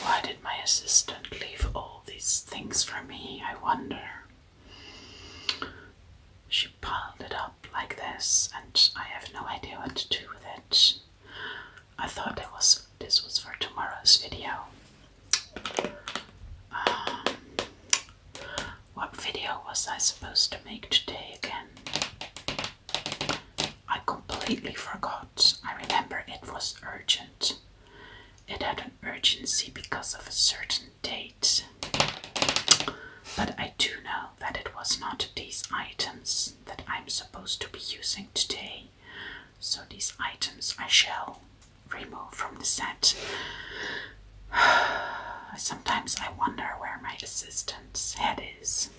Why did my assistant leave all these things for me? I wonder. She piled it up like this, and I have no idea what to do with it. I thought it was this was for tomorrow's video. Um, what video was I supposed to make today again? I completely forgot. I remember it was urgent. It had an urgency because of a certain date. But I do know that it was not these items that I'm supposed to be using today. So these items I shall remove from the set. Sometimes I wonder where my assistant's head is.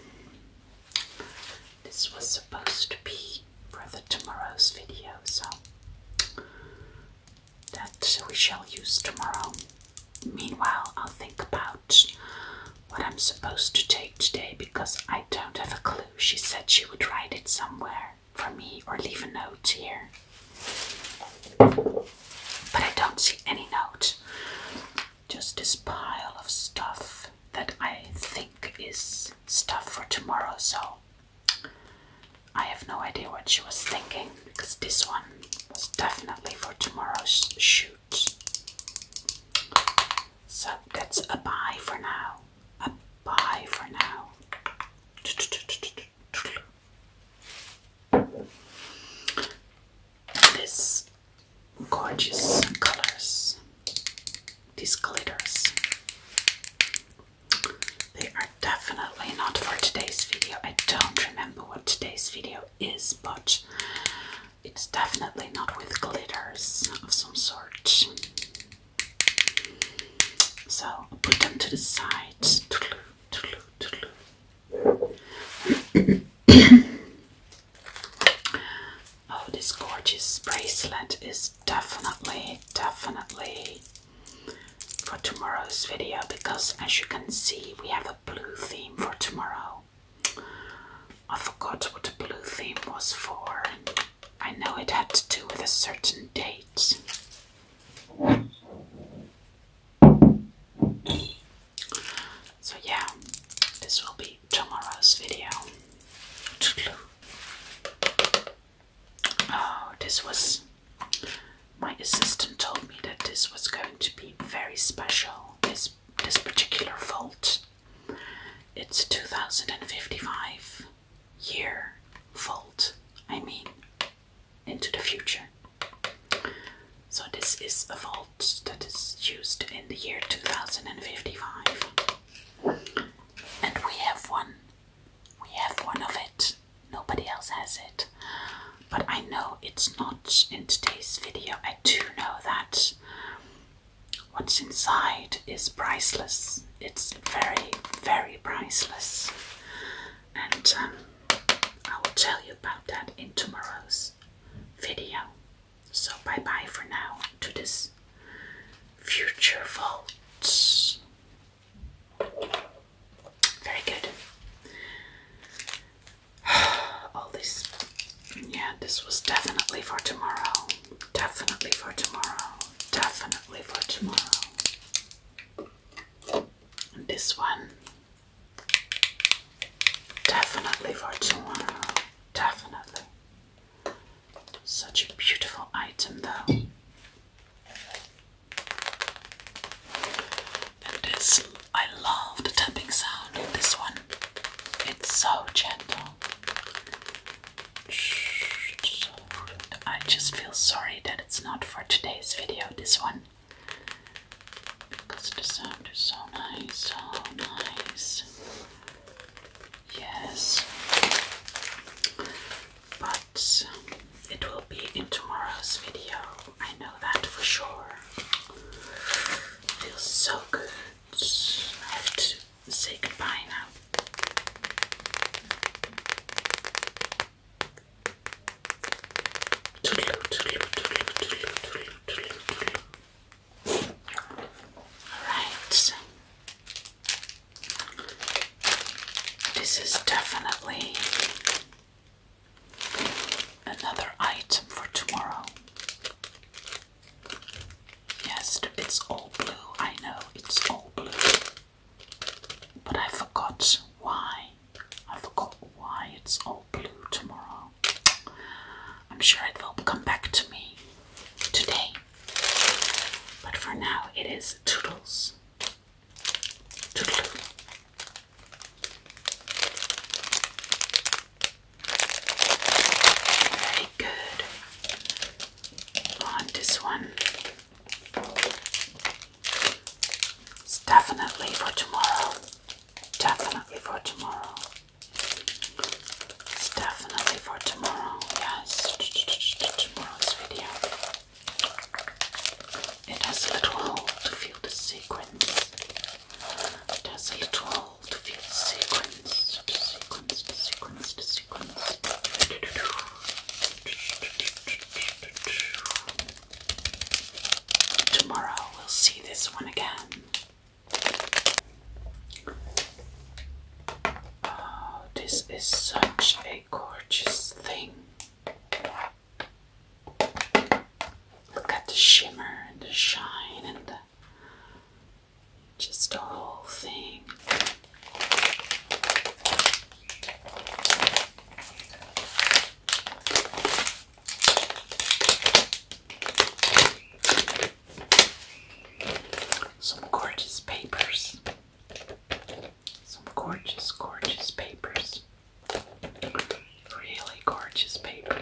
This was supposed to be for the tomorrow's video, so that we shall use tomorrow. Meanwhile, I'll think about what I'm supposed to take today because I don't have a clue. She said she would write it somewhere for me or leave a note here. But I don't see any note. Just this pile of stuff that I think is stuff for tomorrow, so I have no idea what she was thinking because this one was definitely for tomorrow's shoot. So that's a bye for now bye for now. This gorgeous colors, these glitters, they are definitely not for today's video. I don't remember what today's video is, but it's definitely not with glitters of some sort. So I'll put them to the side. oh, this gorgeous bracelet is definitely, definitely for tomorrow's video because as you can see, we have a blue theme for tomorrow. I forgot what the blue theme was for. I know it had to do with a certain date. So yeah, this will be tomorrow's video. Oh, this was my assistant told me that this was going to be very special. This this particular vault. It's 2055 year vault. I mean, into the future. So, this is a vault that is used in the year 2055. And we have one. We have one of it. Nobody else has it. But I know it's not in today's video. I do know that what's inside is priceless it's very very priceless, and um, I will tell you about that in tomorrow's video. So bye bye for now to this future vaults. Very good. All this, yeah, this was definitely for tomorrow. Definitely for tomorrow. Definitely for tomorrow. And this one, definitely for tomorrow, definitely. Such a beautiful item, though. And this, I love the tapping sound in this one. It's so gentle. I just feel sorry that it's not for today's video, this one. Because the sound is so nice, so nice. Yes. But it will be in tomorrow's video. I know that for sure. Feels so good. have to say goodbye now Alright. This is definitely another item for tomorrow. Yes, it's all blue. I know it's all blue. But I forgot why. I forgot why it's all blue tomorrow. I'm sure it will come back to me today. But for now, it is Toodles. Very good. On this one, it's definitely for tomorrow. Definitely for tomorrow. It's definitely for tomorrow. Yes, tomorrow's video. It has a little hole to feel the sequence. It has a little hole to feel the sequence. the sequence. Tomorrow we'll see this one again. Oh, this is such a gorgeous thing. Look at the shimmer and the shine and just the whole thing. Some gorgeous papers. Some gorgeous, gorgeous papers. Really gorgeous papers.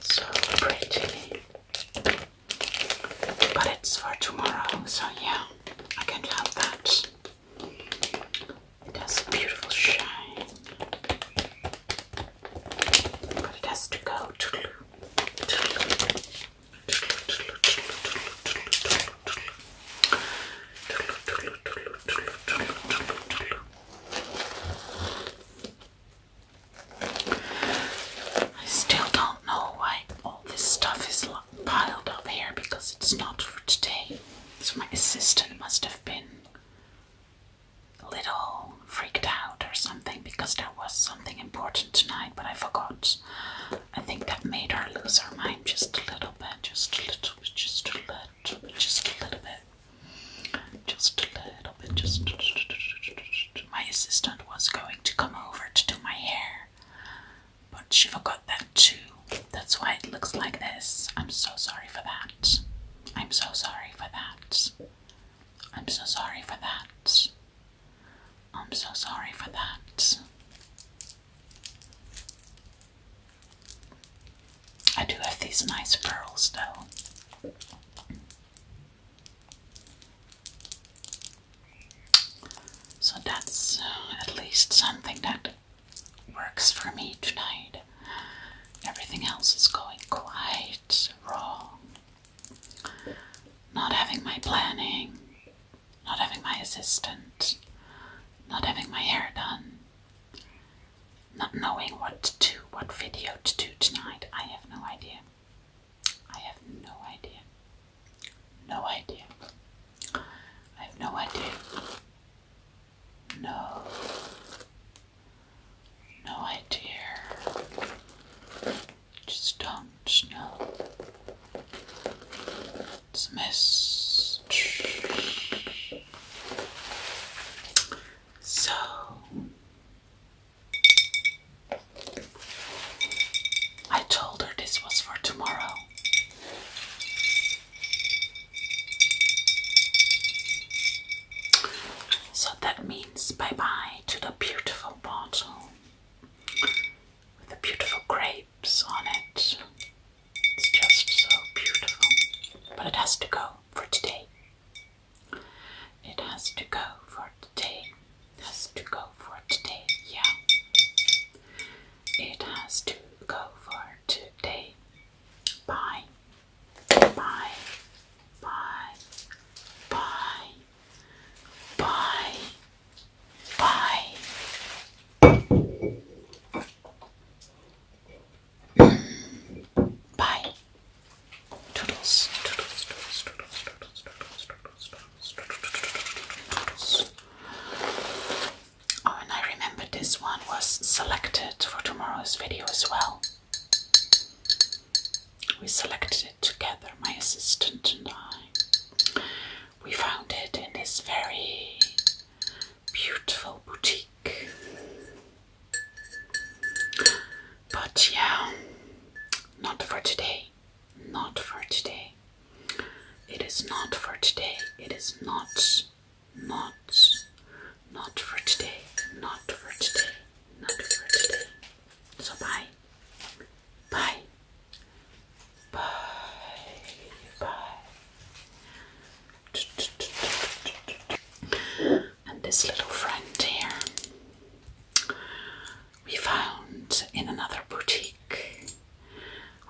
So pretty. But it's for tomorrow, so yeah, I can't help that. It has a beautiful shine. But it has to go to I still don't know why all this stuff is piled up here because it's not for today. So my assistant must have been a little freaked out or something because there was something important tonight, but I forgot. I think that made her lose her mind just a little bit, just a little bit, just a little bit, just a little bit just a little bit, just my assistant was going to come over to do my hair, but she forgot that too. That's why it looks like this. I'm so sorry for that. I'm so sorry for that. I'm so sorry for that. I'm so sorry for that. I do have these nice pearls though. So that's uh, at least something that works for me tonight. Everything else is going quite wrong. Not having my planning, not having my assistant, not having my hair done, not knowing what to do, what video to do tonight. I have no idea. I have no idea. No idea. I have no idea. No. No idea. Just don't know. It's a mess. So, I told her this was for tomorrow. So that means bye bye to the beautiful bottle with the beautiful grapes on it. It's just so beautiful. But it has to go for today. It has to go for today. Has to go for today, yeah. It has to go for today. Bye. Bye. Bye. Bye. Bye. Bye. Bye and I remember this one was selected for tomorrow's video as well. We selected it together, my assistant and I. We found it in this very beautiful boutique. But yeah, not for today. Not for today. It is not for today. It is not, not, not for today. Not for today. Not for today. So bye. Bye. Bye. Bye. And this little friend here we found in another boutique.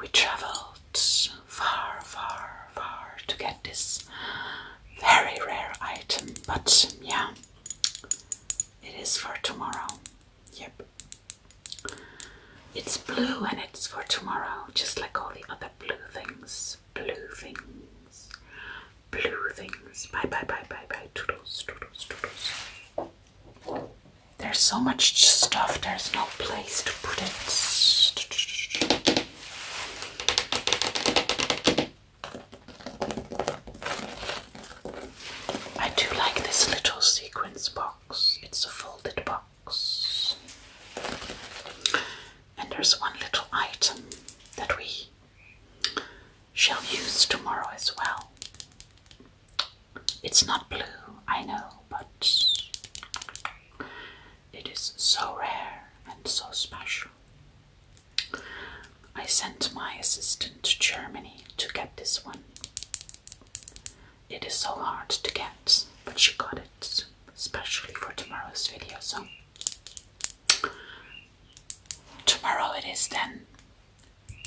We travelled far, far, far to get this very rare item, but yeah, it is for tomorrow. Yep. It's blue and it's for tomorrow, just like all the other blue things. Blue things blue things. Bye, bye, bye, bye, bye. Toodles, toodles, toodles. There's so much stuff, there's no place to put it. I do like this little sequence box. It's a folded box. And there's one little item that we shall use tomorrow as well. It's not blue, I know, but it is so rare and so special. I sent my assistant to Germany to get this one. It is so hard to get, but she got it, especially for tomorrow's video. So, tomorrow it is then.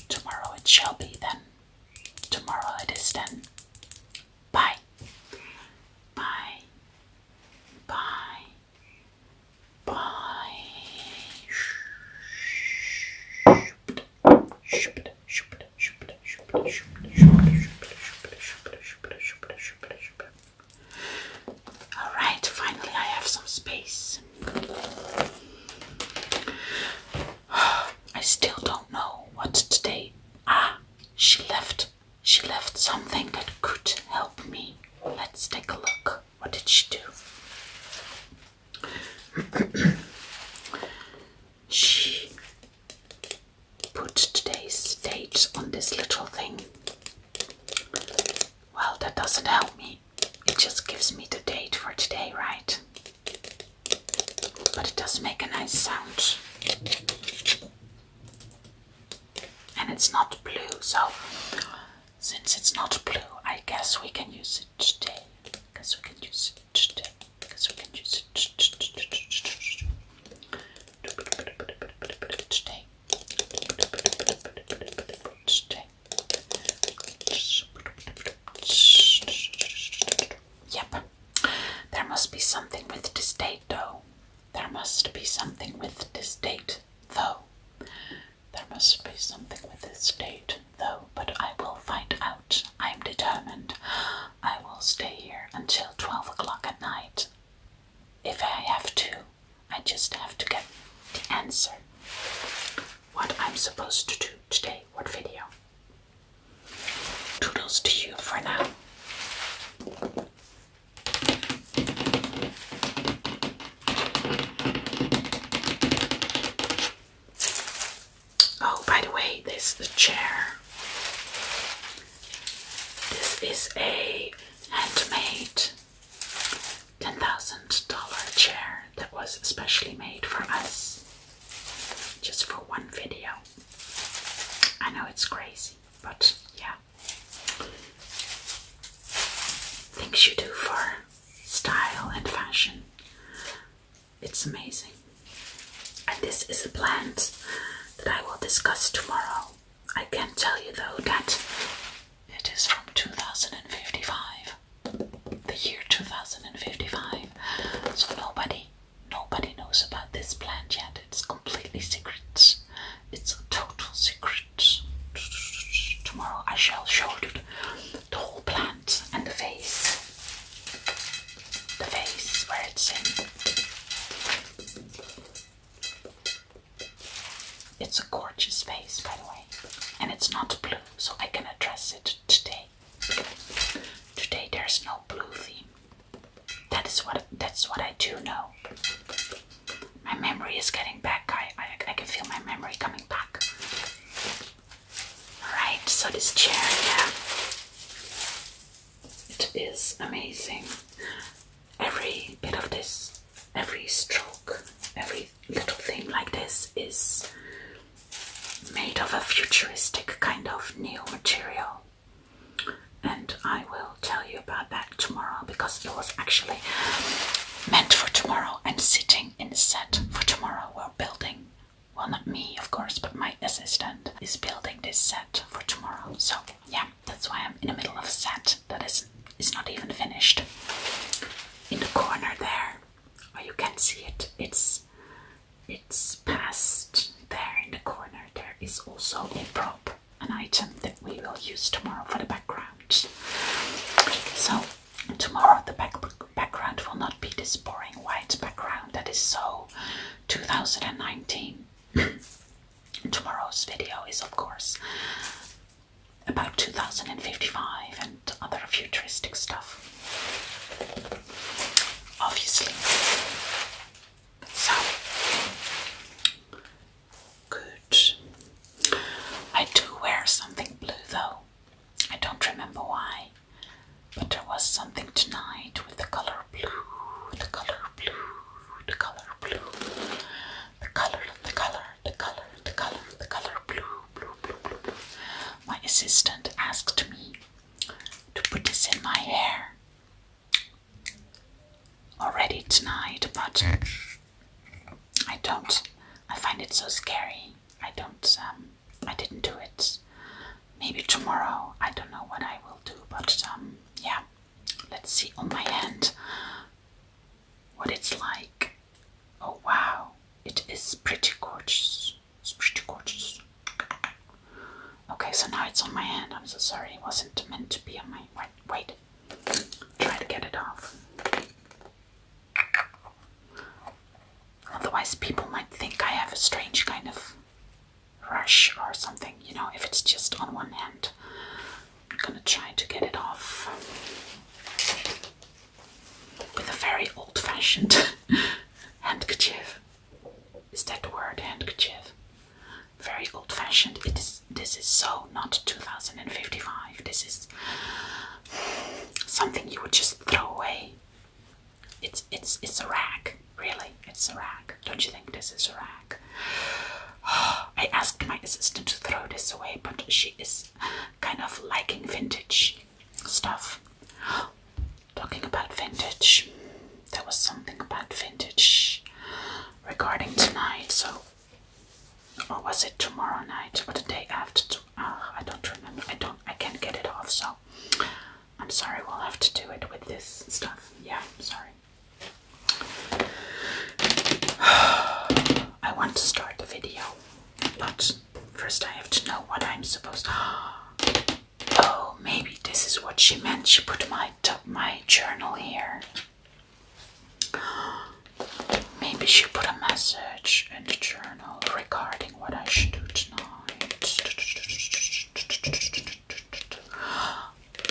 Tomorrow it shall be then. Tomorrow it is then. Bye. Bye. Bye. Bye. Alright, finally, I have some space. I still don't know what today. Ah, she left. She left something that could help me. Let's take a look. What did she do? she put today's date on this little thing. Well, that doesn't help me it just gives me the date for today, right? But it does make a nice sound. And it's not blue, so since it's not blue, I guess we can use it today. Because we can use it today. Guess we can use it Today. Yep. There must be something with this date, though. There must be something with this date, though. There must be something with this date, though, but I will find out. I am determined. I will stay here until 12 o'clock at night. If I have to, I just have to get the answer. What I'm supposed to do today, what video. Toodles to you for now. Oh, by the way, this the chair. This is a handmade $10,000 chair that was especially made for us just for one video. I know it's crazy, but yeah. Things you do for style and fashion. It's amazing. And this is a plant that I will discuss tomorrow. I can not tell you though that it is from 2055, the year 2055. So nobody, nobody knows about this plant yet. It's completely secret. It's a total secret. Tomorrow I shall show you the whole plant and the vase. The vase where it's in. It's a gorgeous vase, by the way, and it's not blue, so I can address it today. Today there's no blue theme. That is what that's what I do know. My memory is getting back. I I, I can feel my memory coming back. Alright, so this chair, yeah. It is amazing. Every bit of this every stroke, every little thing like this is made of a futuristic kind of neo material. And I will tell you about that tomorrow because it was actually meant for tomorrow and sitting in the set for tomorrow. We're building, well, not me, of course, but my assistant is building this set for tomorrow. So, yeah, that's why I'm in the middle of a set that is, is not even finished in the corner there or oh, you can see it it's it's past there in the corner there is also a prop an item that we will use tomorrow for the background so tomorrow the back background will not be this boring white background that is so 2019 tomorrow's video is of course about 2055 and other futuristic stuff. Obviously. So good. I do wear something blue though. I don't remember why. But there was something tonight with the color blue, the color blue, the color blue, the color, the color, the color, the color, the color blue, blue, blue, blue, My assistant asked me to put this in my hair already tonight, but I don't. I find it so scary. I don't. Um, I didn't do it. Maybe tomorrow. I don't know what I will do, but um, yeah. Let's see on my hand what it's like. Oh wow, it is pretty gorgeous. It's pretty gorgeous. Okay, so now it's on my hand. I'm so sorry, it wasn't meant to be on my. Wait, wait. try to get it off. Otherwise, people might think I have a strange kind of rush or something, you know, if it's just on one hand. I'm gonna try to get it off with a very old-fashioned handkerchief. Is that the word handkerchief? Very old-fashioned. It is. This is so not 2055. This is something you would just throw away. It's it's it's a rag, really. It's a rag. Don't you think this is a rag? I asked my assistant to throw this away, but she is kind of liking vintage stuff. Talking about vintage, there was something about vintage regarding tonight, so or was it tomorrow night or the day after? To, ah, I don't remember. I don't. I can't get it off. So I'm sorry. We'll have to do it with this stuff. Yeah, sorry. I want to start the video but first I have to know what I'm supposed to Oh, maybe this is what she meant. She put my my journal here. Maybe she put a message in the journal regarding what I should do tonight.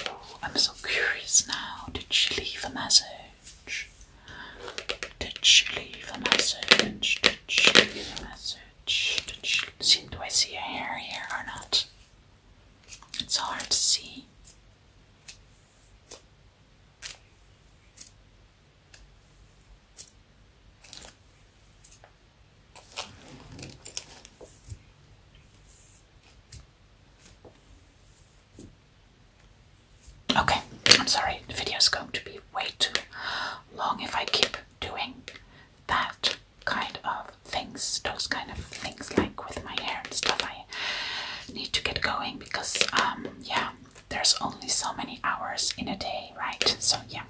Oh, I'm so curious now. Did she leave a message? Did she leave a message? Did she leave a message? Did she see do I see a hair here or not? It's hard to see. Okay, I'm sorry, the video is going to be way too long if I keep doing that kind of things, those kind of things like with my hair and stuff. I need to get going because, um, yeah, there's only so many hours in a day, right? So, yeah,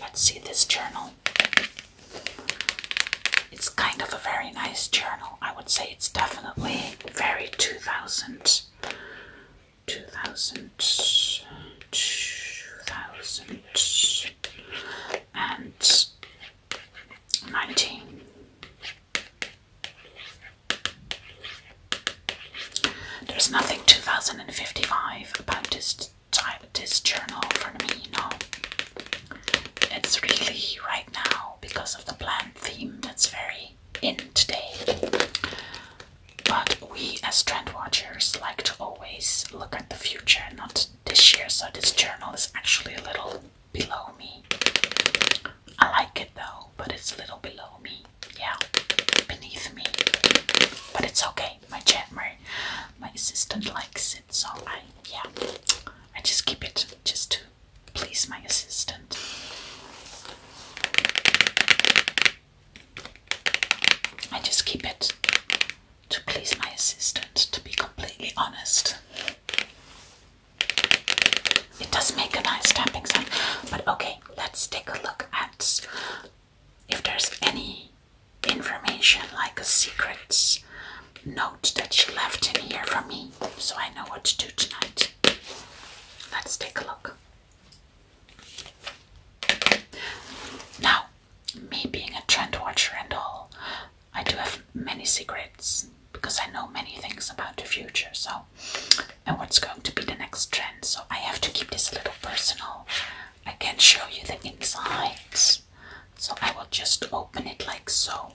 Let's see this journal. It's kind of a very nice journal. I would say it's definitely very 2000, 2000, 2000 and There's nothing 2055 about this type, this journal for me, no. It's really right now because of the plant theme that's very in today. But we, as trend watchers, like to always look at the future, not this year. So this journal is actually a little below me. I like it though, but it's a little below me. Yeah, beneath me. But it's okay. My chat, my my assistant likes it, so I yeah, I just keep it just to please my assistant. I just keep it to please my assistant, to be completely honest. It does make a nice tapping sound, but okay, let's take a look at if there's any information like a secret note that she left in here for me so I know what to do tonight. Let's take a look. Now, me being a trend watcher and all, I do have many secrets because I know many things about the future, so and what's going to be the next trend. So I have to keep this a little personal. I can't show you the insides. So I will just open it like so.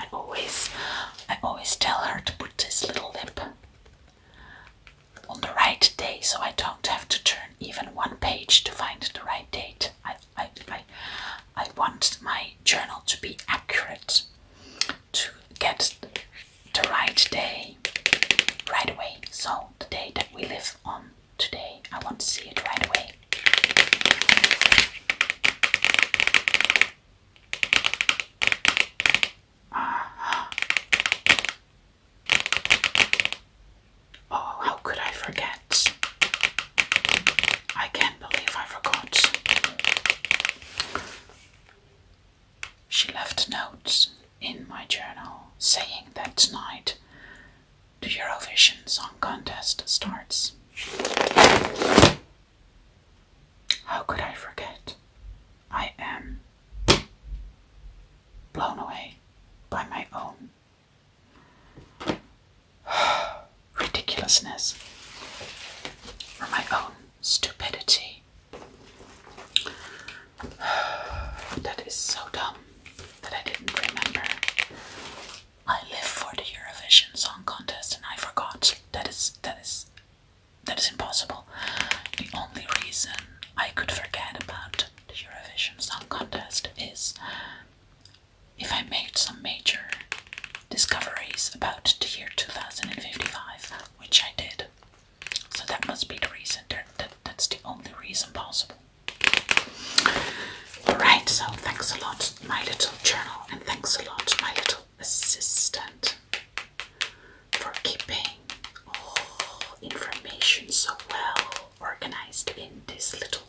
I always I always tell her to put this little lip on the right day so I don't have to turn even one page to find the right date. I I I, I want my journal to be accurate to get the right day right away. So the day that we live on today, I want to see it right away. Oh, how could I forget? I can't believe I forgot. She left notes in my journal saying that tonight the Eurovision Song Contest starts. How could I forget? I am blown away by my own ridiculousness or my own stupidity. that is so dumb that I didn't remember. I live for the Eurovision Song Contest and I forgot. That is that is that is impossible. The only reason I could forget about the Eurovision Song Contest is if I made some major discoveries about the year 2055, which I did. So that must be the reason. That, that's the only reason possible. Alright, so thanks a lot, my little journal, and thanks a lot, my little assistant for keeping all information so well organized in this little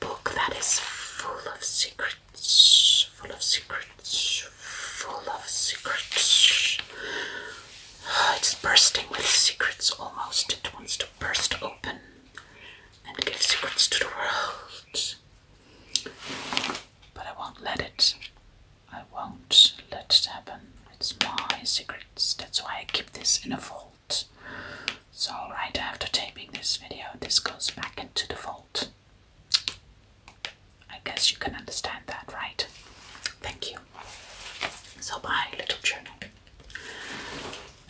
book that is full of secrets, full of secrets, full of secrets. It's bursting with secrets almost. It wants to burst open and give secrets to the world. But I won't let it. I won't let it happen. It's my secrets. That's why I keep this in a vault. So, right after taping this video, this goes back into the vault. I guess you can understand that, right? Thank you. So, bye, little journal.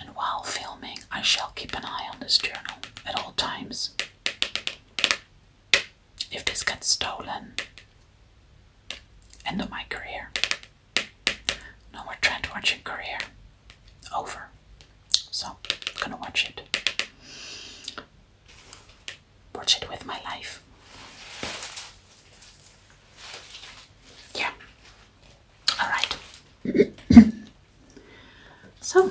And while filming, I shall keep an eye on this journal at all times if this gets stolen, end of my career. No more trend watching career. Over. So, gonna watch it. Watch it with my life. Yeah. Alright. So,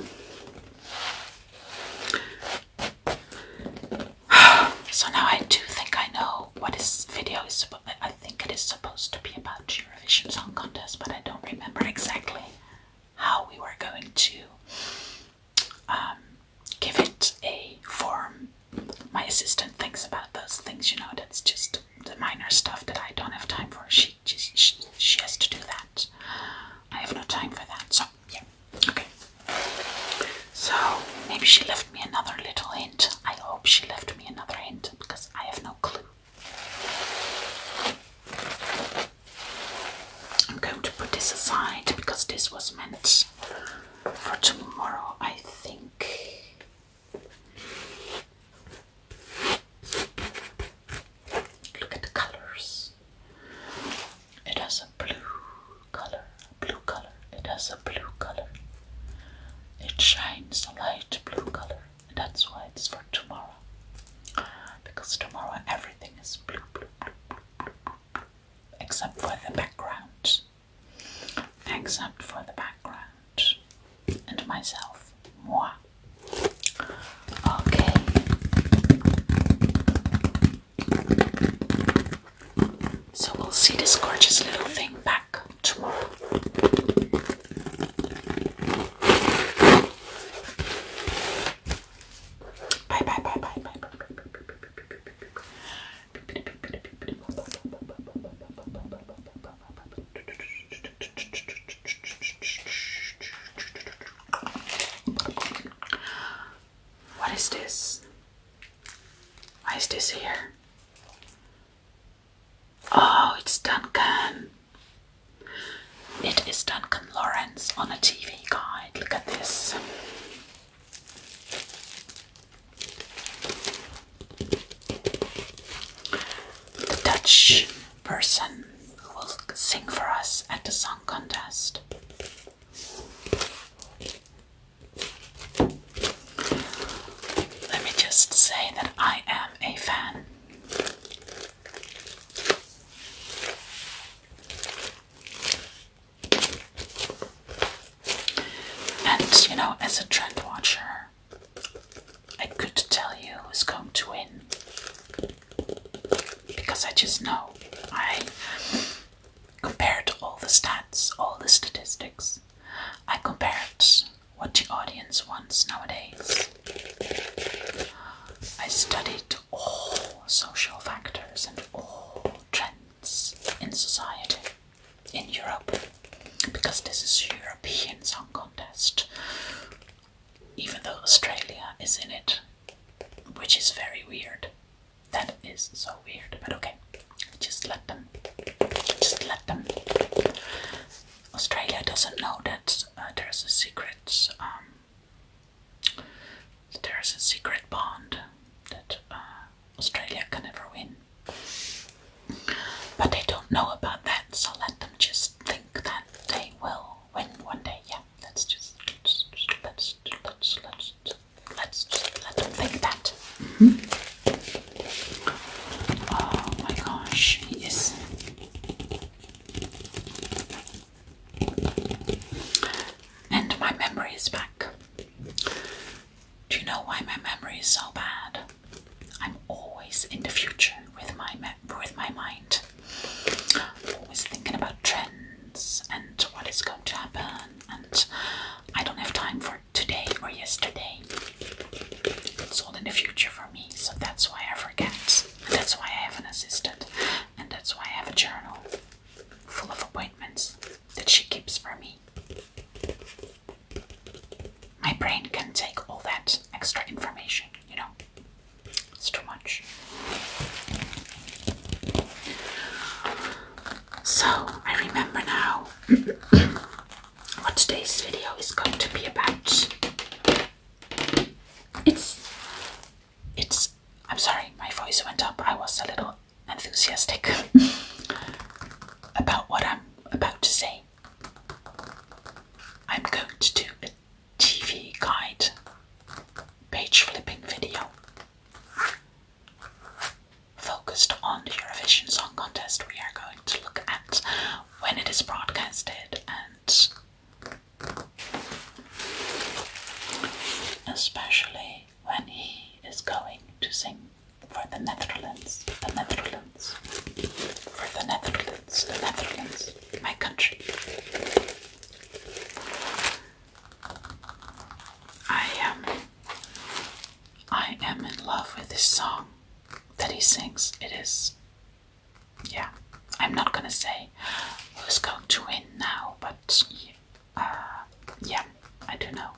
so now I do think I know what this video is I think it is supposed to be about Eurovision Song Contest, but I don't remember exactly how we were going to um, give it a form. My assistant thinks about those things, you know. That's just the minor stuff that I don't have time for. She she, she has to do that. I have no time for that. So, yeah, okay. So, maybe she left me another little hint. I hope she left me another hint because I have no clue. I'm going to put this aside because this was meant for tomorrow, I think. Look at the colors. It has a blue color, blue color. It has a blue color. It shines a light blue color. That's why it's for tomorrow. Because tomorrow everything is blue, blue, blue, blue. except for the background. Except for the background. And myself. Moi. Okay. So we'll see this gorgeous little thing back tomorrow. Bye bye bye bye bye bye bye bye bye bye bye bye what is this? Why is this here? Oh, it's Duncan. It is Duncan Lawrence on a TV guide. Look at this. Dutch person who will sing for us at the song contest. Let me just say that I am a fan. And you know, as a trend watcher, I could tell you who's going to win because I just know I compared to all the stats, all the statistics. I compared what the audience wants nowadays. I studied all social factors and all trends in society in Europe because this is European Song Contest. Even though Australia is in it, which is very weird. That is so weird, but okay. Just let them. Just let them. Australia doesn't know that uh, there's a secret. Um, there's a secret bond that uh, Australia can never win. But they don't know about that, so let them just think that they will when one day, yeah, let's just let's let's let's let's let's think that. Oh my gosh, he And my memory is back. Do you know why my memory is so bad? I'm always in the future with my with my mind it. Always thinking about trends and what is going to happen, and I don't have time for today or yesterday. It's all in the future for me, so that's why I forget. And that's why I have an assistant, and that's why I have a journal full of appointments that she keeps for me. My brain can take all that extra information, you know. It's too much. So I remember now what today's video is going to be about. It's it's I'm sorry, my voice went up. I was a little enthusiastic about what I'm about to say. I'm going to do it. TV guide page flipping video focused on the Eurovision Song Contest. We are going to look at when it is broadcasted and especially when he is going to sing for the Netherlands, the Netherlands, for the Netherlands, the Netherlands, my country. I am I am in love with this song that he sings. It is yeah, I'm not gonna say who's going to win now, but yeah, uh, I do know.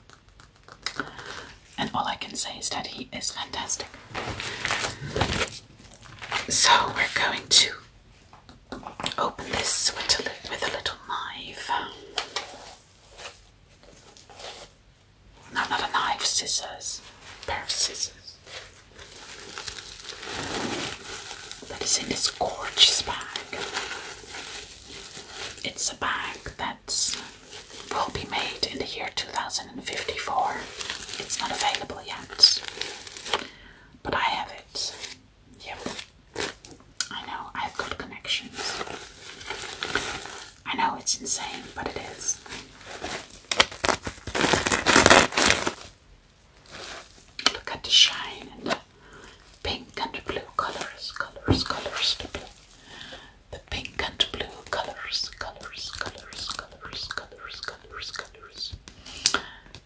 And all I can say is that he is fantastic. So we're going to open this with a, little knife. No, not a knife, scissors. pair of scissors. That is in this gorgeous bag. It's a bag that will be made in the year 2054. It's not available yet, but I have it. Yeah, I know, I've got connections. I know it's insane, but it is. Look at the shine and the pink and the blue colors, colors, colors, the blue. The pink and blue colors, colors, colors, colors, colors, colors, colors.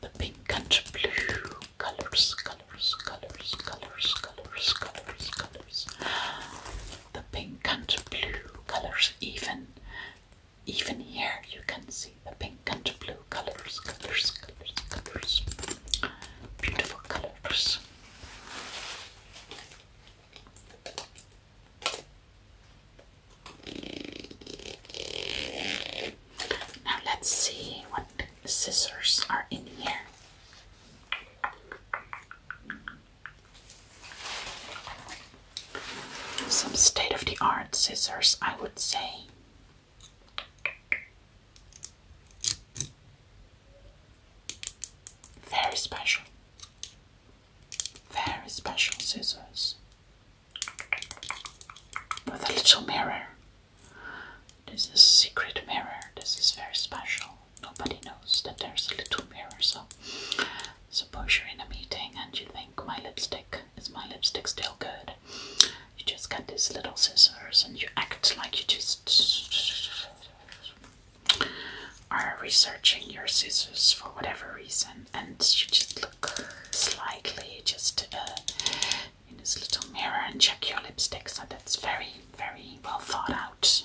The pink and blue colors, colors, colors, colors, colors, colors, colors. The pink and blue colors, even, even here you can see the pink and blue colors, colors, colors, colors. Beautiful colors. Now let's see what scissors are in here. Some state of the art scissors, I would say. Very special. Very special scissors. With a little mirror this is a secret mirror. This is very special. Nobody knows that there's a little mirror. So, suppose you're in a meeting and you think my lipstick is my lipstick still good. You just get these little scissors and you act like you just are researching your scissors for whatever reason, and you just look slightly, just uh, in this little mirror and check your lipstick. So that's very, very well thought out.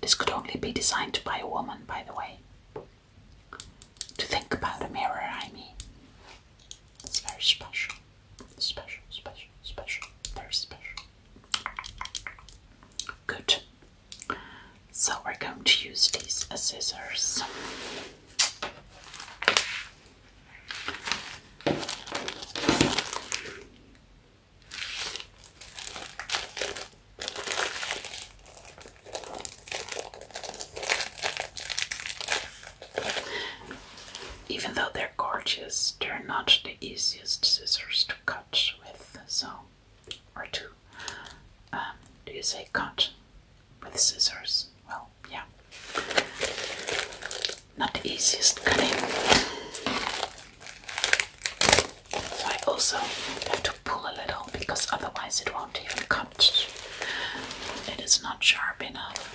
This could only be designed by a woman, by the way. To think about a mirror, I mean. It's very special. Special, special, special, very special. Good. So we're going to use these scissors. Even though they're gorgeous, they're not the easiest scissors to cut with, so, or to, um, do you say cut? with scissors. Well, yeah. Not the easiest cutting. So I also have to pull a little because otherwise it won't even cut. It is not sharp enough.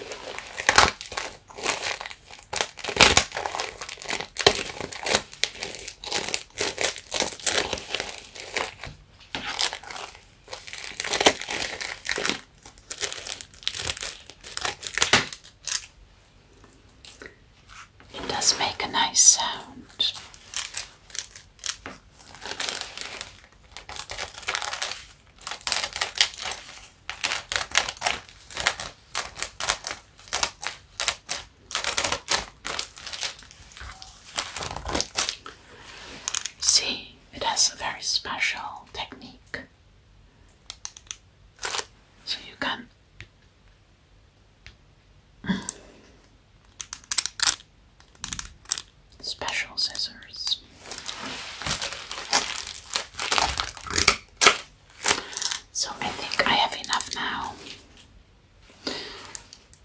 It does make a nice sound. See, it has a very special technique. So you can special scissors. So I think I have enough now.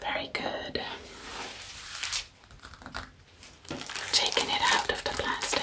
Very good. Taking it out of the plastic.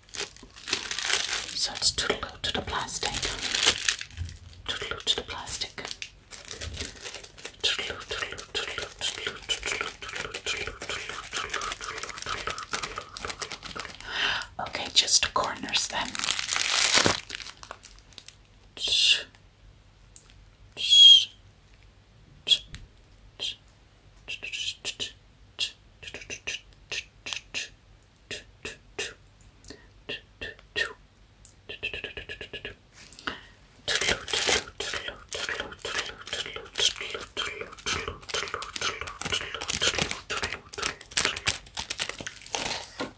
So it's toodaloo to the plastic. Toodaloo to the plastic. Toodaloo, toodaloo, toodaloo, toodaloo, toodaloo, toodaloo, toodaloo, toodaloo, toodaloo, toodaloo. Okay, just the corners then. Ch, ch, ch, ch,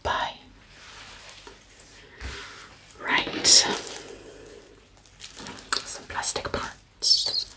Bye. Right. Some plastic parts.